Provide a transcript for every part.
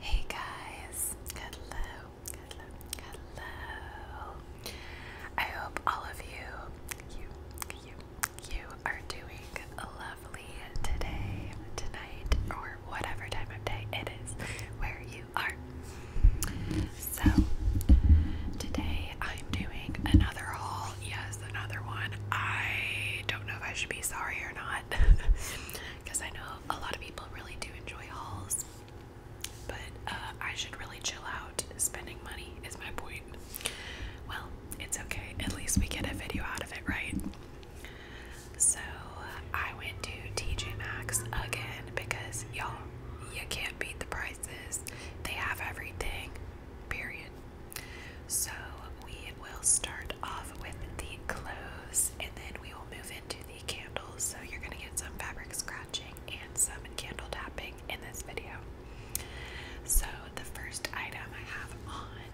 Hey guys, hello, hello, hello. I hope all of you, you, you, you are doing lovely today, tonight, or whatever time of day it is where you are. So, today I'm doing another haul. Yes, another one. I don't know if I should be sorry or not because I know a lot of people really do enjoy hauls, but uh, I should really chill out. Spending money is my point. Well, it's okay. At least we get a video out of it, right? So I went to TJ Maxx again because y'all, you can't beat the prices. They have everything, period. So we will start off with the clothes and then we will move into the candles. So you're going to get some fabric scratching and some candle tapping in this video. So the first item I have on,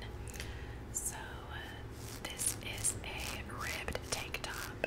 so this is a ribbed tank top.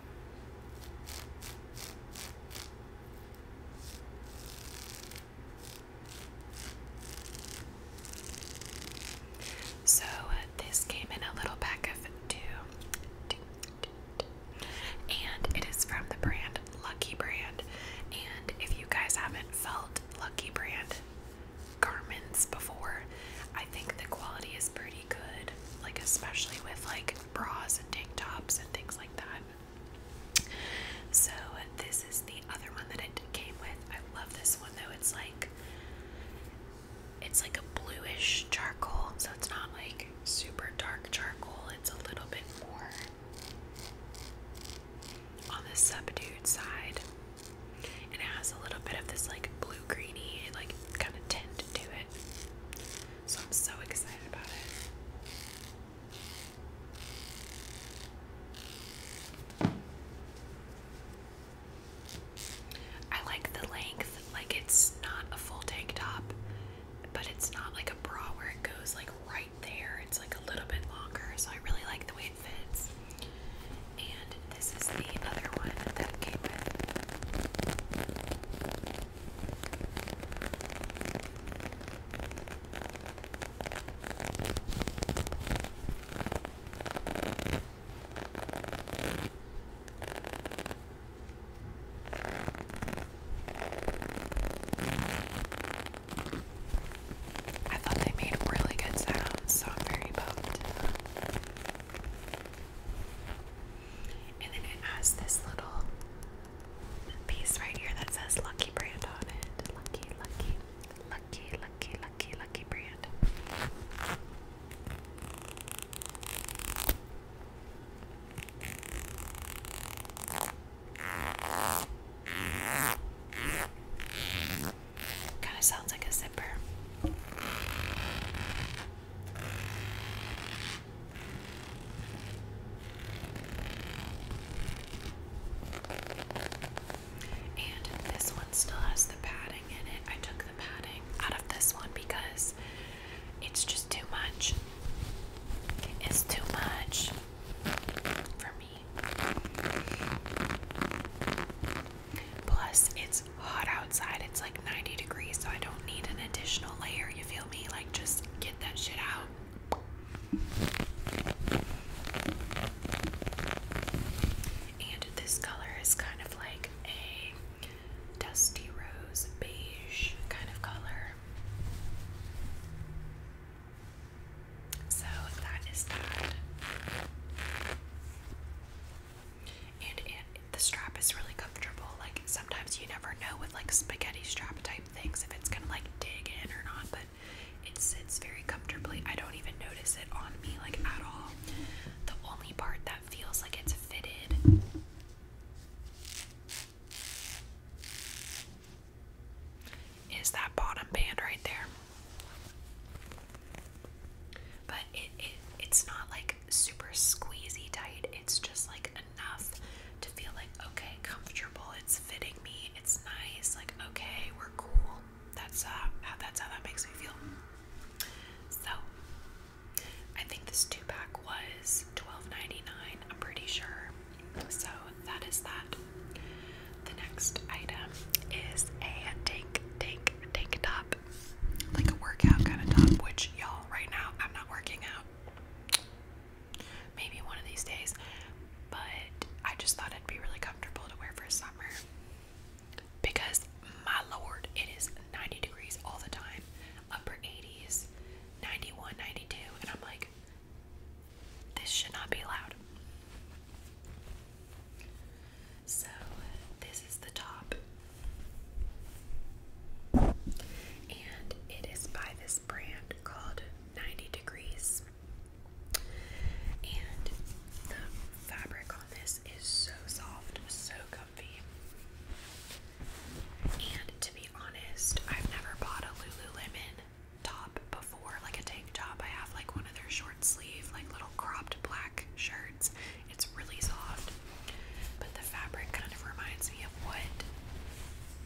So this came in a little pack of two, two, two, two, and it is from the brand Lucky Brand. And if you guys haven't felt Lucky Brand garments before, I think the quality is pretty pretty like especially with like bras and tank tops and things like that. So this is the other one that it came with. I love this one though. It's like it's like a bluish charcoal, so it's not like super dark charcoal. It's a little bit more on the subdued side. And it has a little bit of this like blue greeny like kind of tint to it. So I'm so excited about it. I like the length, like it's not a full tank top, but it's not like a bra where it goes like right there. It's like a little bit longer, so I really like the way it fits. And this is the other one that came with. I thought they made really good sounds, so I'm very pumped. And then it has this little piece right here that says Lucky Brand on it. Lucky, lucky, lucky, lucky, lucky, lucky brand. Kind of sounds like a zipper. And this one still has the padding in it. I took the padding out of this one because it's just too much. It's too much for me. Plus, it's hot outside. It's like 90 degrees, so I don't need an additional layer. You feel me? Like, just get that shit out. And this color is kind of like a dusty rose beige kind of color. So that is that and the strap is really comfortable. Like sometimes you never know with like spaghetti strap type things if it's gonna like dig in or not, but it sits very comfortably. I don't even notice it on me like at all. The only part that feels like it's fitted is that bottom band right there it, it it's not like super squeezy tight. It's just like enough to feel like okay, comfortable. It's fitting me. It's nice. Like okay, we're cool. That's uh, that's how that makes me feel. So I think this two pack was $12.99. I'm pretty sure. So that is that. The next item is a tank, tank, tank top like a workout kind of top, which y'all, right now, I'm not working out. Maybe one of these days, but I just thought it'd be really comfortable to wear for summer because my lord, it is 90 degrees all the time, upper 80s, 91, 92, and I'm like, this should not be loud. So this is the top. And it is by this brand called 90 Degrees. And the fabric on this is so soft, so comfy. And to be honest, I've never bought a Lululemon top before, like a tank top. I have like one of their shorts sleeve, like little cropped black shirts. It's really soft, but the fabric kind of reminds me of what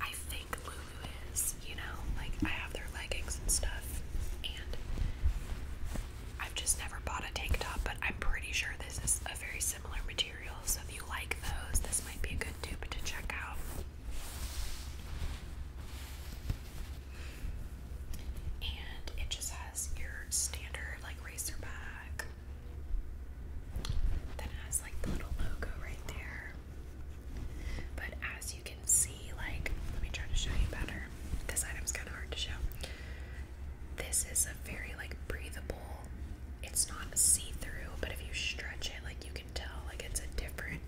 I think Lulu is, you know? Like, I have their leggings and stuff, and I've just never bought a tank top, but I'm pretty sure this is a very similar material. So, if you like those, this might be a good dupe to check out. And it just has your standard like racer bag. Then has like the little logo right there. But as you can see, like, let me try to show you better. This item's kind of hard to show. This is a very like breathable, it's not see-through, but if you stretch it, like you can tell like it's a different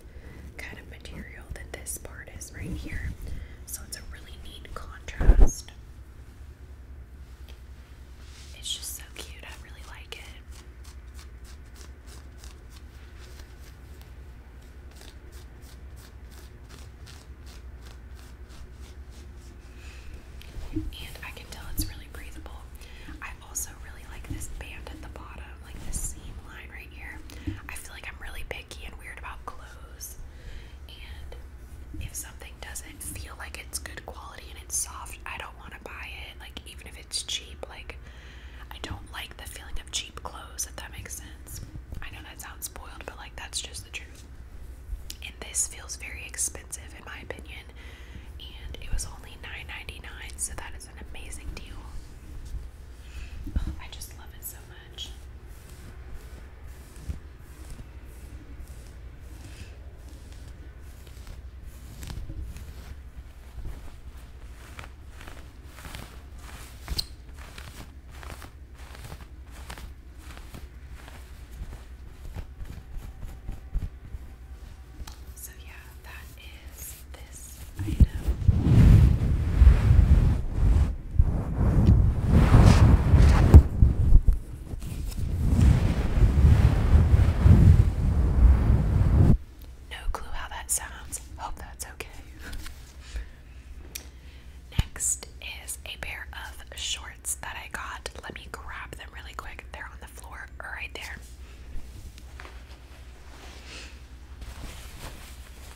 kind of material than this part where it is right here. So it's a really neat contrast. It's just so cute. I really like it. And I can tell it's really breathable. I also really like this band at the bottom, like this seam line right here. I feel like I'm really picky and weird about clothes. And if something doesn't feel like it's good quality and it's soft, I don't want to buy it. Like, even if it's cheap, like, I don't like the feeling of cheap clothes, if that makes sense. I know that sounds spoiled, but like, that's just the truth. And this feels very expensive, in my opinion. And it was only nine ninety nine, dollars so that is an amazing deal. Oh, I just love it so much. So, yeah, that is this item. No clue how that sounds. Hope that's okay. Next is a pair of shorts that I got. Let me grab them really quick. They're on the floor right there.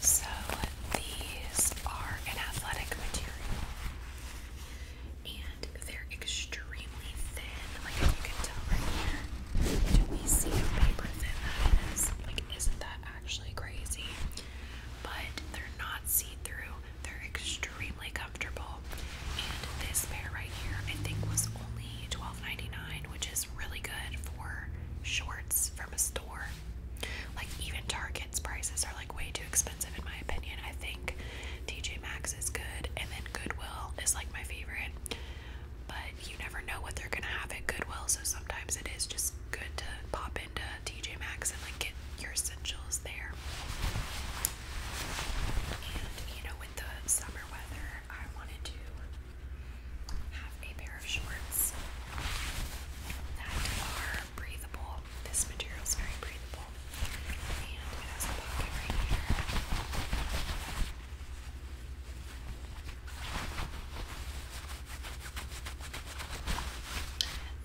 So these are an athletic material and they're extremely thin. Like you can tell right here. Do we see how paper thin that is? Like isn't that actually crazy? But they're not see-through. They're extremely comfortable. And this pair right here, I think, was only $12.99, which is really good for shorts from a store. Like, even Target's prices are like way too expensive, in my opinion. I think TJ Maxx is good, and then Goodwill is like my favorite. But you never know what they're gonna have at Goodwill, so sometimes it is just good to pop into TJ Maxx and like get your essentials there. And you know, with the summer weather, I wanted to have a pair of shorts that are breathable. This material is very breathable, and it has a pocket right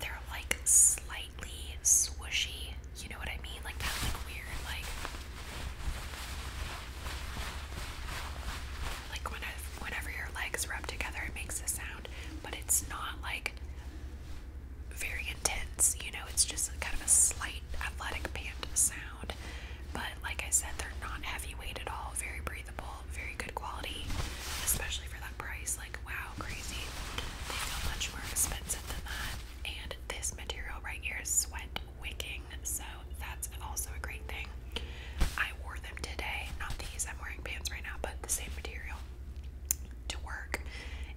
here. They're like slightly swooshy you know what I mean? Like that's like weird like like when whenever your legs rub together it makes a sound, but it's not like very intense, you know, it's just kind of a slight athletic band sound. But like I said, they're not heavy weight at all, very breathable, very good quality, especially for that price. Like wow, they feel much more expensive than that. And this material right here is sweat wicking, so that's also a great thing. I wore them today, not these, I'm wearing pants right now, but the same material to work.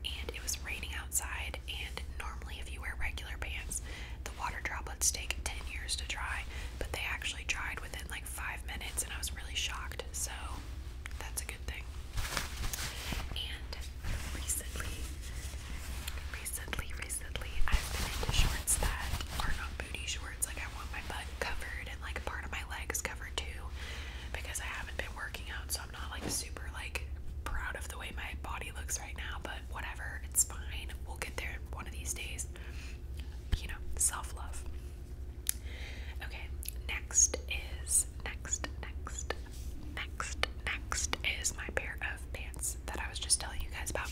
And it was raining outside, and normally, if you wear regular pants, the water droplets take 10 years to dry, but they actually dried within like five minutes, and I was really shocked. So, that's a good thing. And recently, recently, recently, I've been into shorts that are not booty shorts. Like I want my butt covered and like part of my legs covered too, because I haven't been working out, so I'm not like super like proud of the way my body looks right now. But whatever, it's fine. We'll get there one of these days. You know, self love. Okay, next is next, next, next, next is my pair of pants that I was just telling you guys about.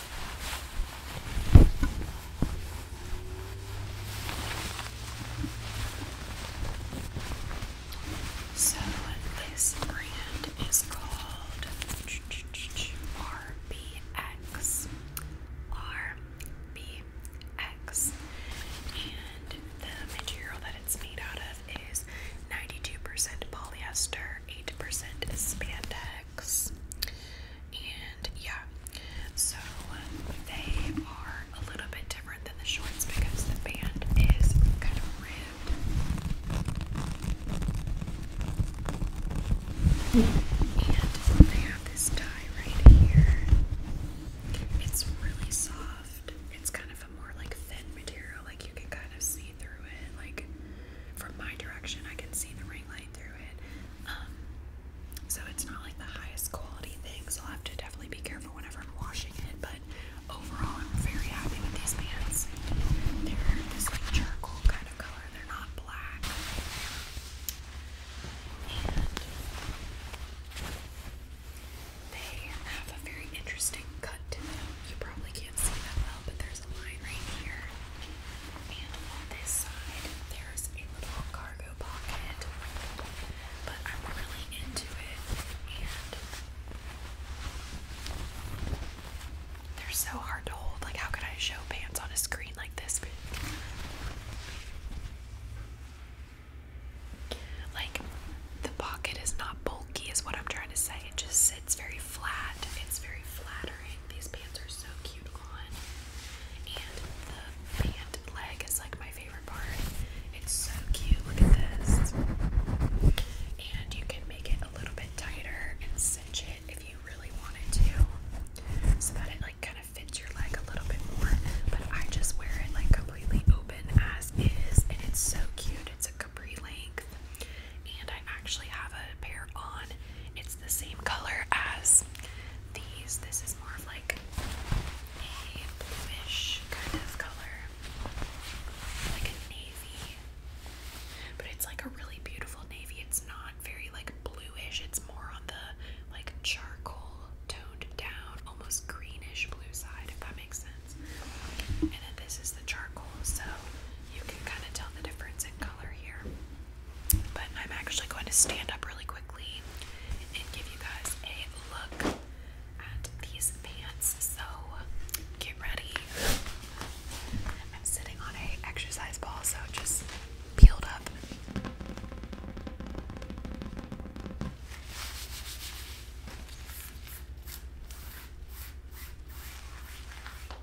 So this brand is called RBX. And the material that it's made out of is 92% polyester, 8% spandex. And yeah, so they are a little bit different than the shorts because the band is kind of ribbed. And they have this tie right here. It's really soft. It's kind of a more like thin material, like you can kind of see through it. Like from my direction, I can see the ring light um, so it's not like the highest quality thing, I'll have to definitely be careful whenever I'm washing it. But overall, I'm very happy with these pants. They're this like charcoal kind of color, they're not black. they have a very interesting cut You probably can't see that well, but there's line right here. And on this side, there's a little cargo pocket. But I'm really into it. And they're so hard to hold. Like, how could I show pants on a screen like this Like, the pocket is not bulky, is what I'm trying to say. It just sits very flat. It's very flat these pants are so cute on. And the pant leg is like my favorite part. It's so cute. Look at this. And you can make it a little bit tighter and cinch it if you really wanted to. So that it like kind of fits your leg a little bit more. But I just wear it like completely open as is. And it's so cute. It's a capri length. And I actually have a pair on. It's the same color as these. This is more of like a bluish kind of color, like a navy. But it's like a really beautiful navy. It's not very like bluish. It's more on the like charcoal toned down, almost greenish blue side, if that makes sense. And then this is the charcoal, so you can kind of tell the difference in color here. But I'm actually going to stand up really quickly and give you guys a look at these pants. So get ready. I'm sitting on a exercise ball, so just peeled up.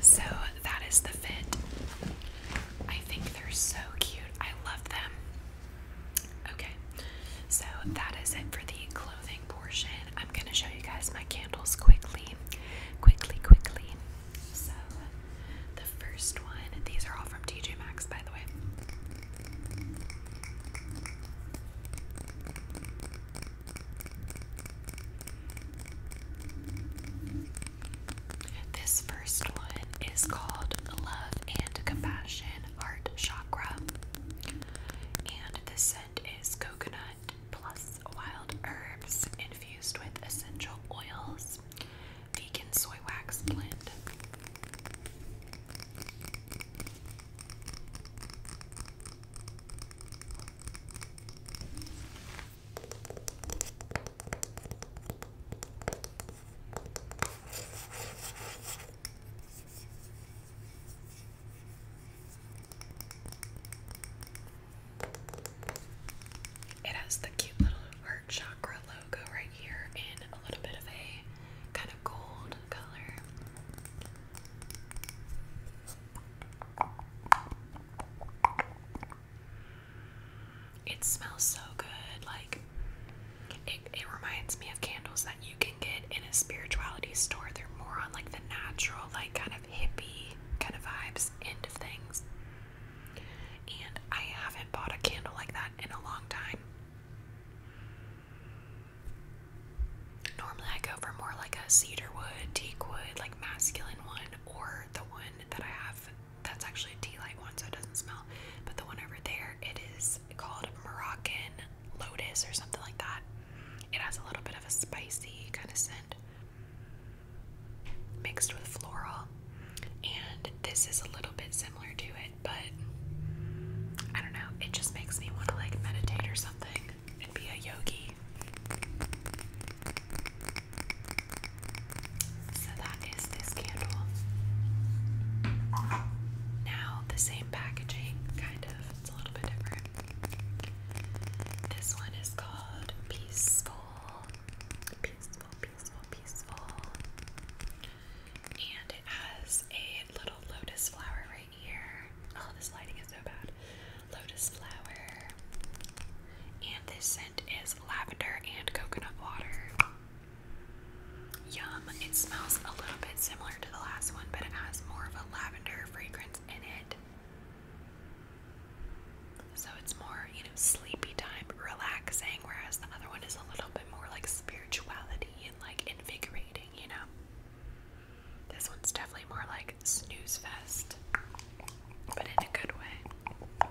So that is the fit. I think they're so cute. I love them. Okay, so that is it for the clothing portion. I'm going to show you guys my candles quickly. Quickly, quickly. So, the first one, these are all from TJ Maxx, by the way. This first one is called Love and Compassion heart chakra. And the scent is coconut plus wild herbs infused with essential oils, vegan soy wax blend. It has the cute little heart chakra logo right here in a little bit of a kind of gold color. It smells so good, like it, it reminds me of candles that you can get in a spirituality store. They're more on like the natural, like kind of hippie kind of vibes end of things. And I haven't bought a candle like that in a long time. Normally, I go for more like a cedar wood, teak wood, like masculine one, or the one that I have that's actually a tea light one, so it doesn't smell. But the one over there, it is called Moroccan Lotus or something like that. It has a little bit of a spicy kind of scent mixed with floral, and this is a little bit similar to it, but I don't know. It just makes me want to like meditate or something and be a yogi. So that is this candle. Now, the same packaging, kind of, it's a little bit different. This one is called Peaceful. Peaceful, peaceful, peaceful. And it has a little lotus flower right here. Oh, this lighting is so bad. Lotus flower. And this scent is lavender and coconut water. Yum. It smells a little bit similar to the last one, but it has more of a lavender fragrance in it. So it's more, you know, sleepy time, relaxing, whereas the other one is a little bit more like spirituality and like invigorating, you know? This one's definitely more like snooze fest, but in a good way.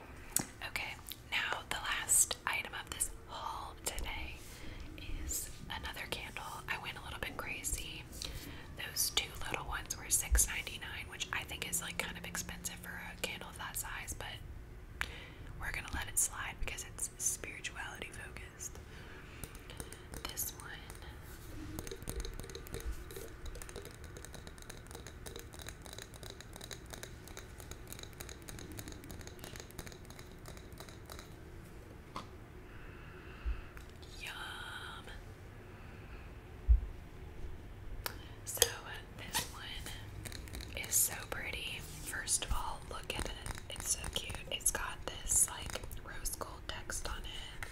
Okay, now the last item of this haul today is another candle. I went a little bit crazy. Those two little ones were $6.99, which I think is like kind of expensive for a candle of that size, but we're gonna let it slide because it's spirituality focused. This one Yum. So this one is so pretty. First of all, look at it. It's so cute. It's got this like rose gold text on it.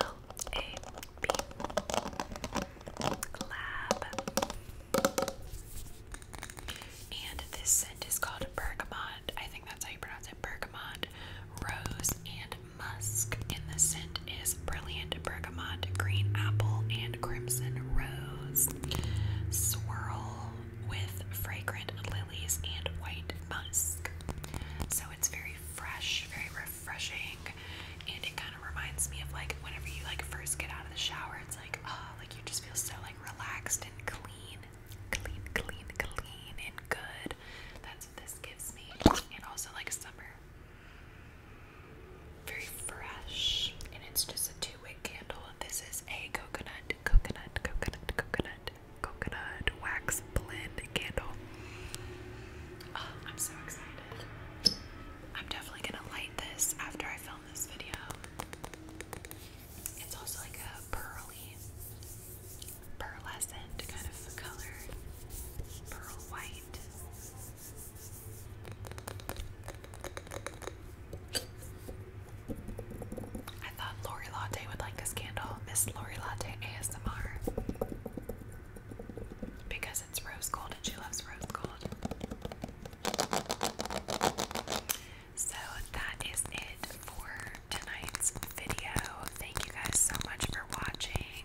L A B And this scent is called bergamot. I think that's how you pronounce it. Bergamot, rose, and musk. And the scent is brilliant bergamot, green apple, and crimson rose. Swirl with fragrant lilies and white musk. So it's very fresh, very refreshing and it kind of reminds me of like whenever you like first get out of the shower it's like oh like you just feel so like relaxed and clean clean clean clean and good that's what this gives me and also like summer very fresh and it's just a two-wick candle this is a coconut coconut coconut coconut coconut wax blend candle Oh, I'm so excited. I'm definitely gonna light this after I film this video. It's also like a pearly, pearlescent kind of color, pearl white. I thought Lori Latte would like this candle. Miss Lori Latte ASMR because it's rose gold and she loves rose gold. So that is it for tonight's video. Thank you guys so much for watching.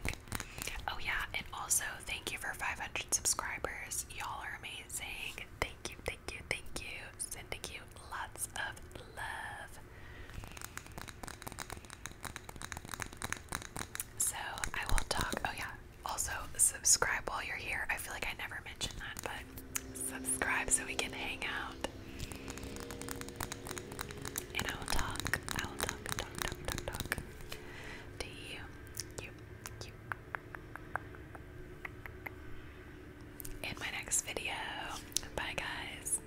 Oh, yeah, and also thank you for 500 subscribers. Y'all are amazing. Thank you, thank you, thank you. Sending you lots of love. So I will talk. Oh, yeah. Also, subscribe while you're here. I feel like I never mentioned that, but subscribe so we can hang out. And I will talk. I will talk, talk, talk, talk, talk to you. You, you. In my next video. Bye, guys.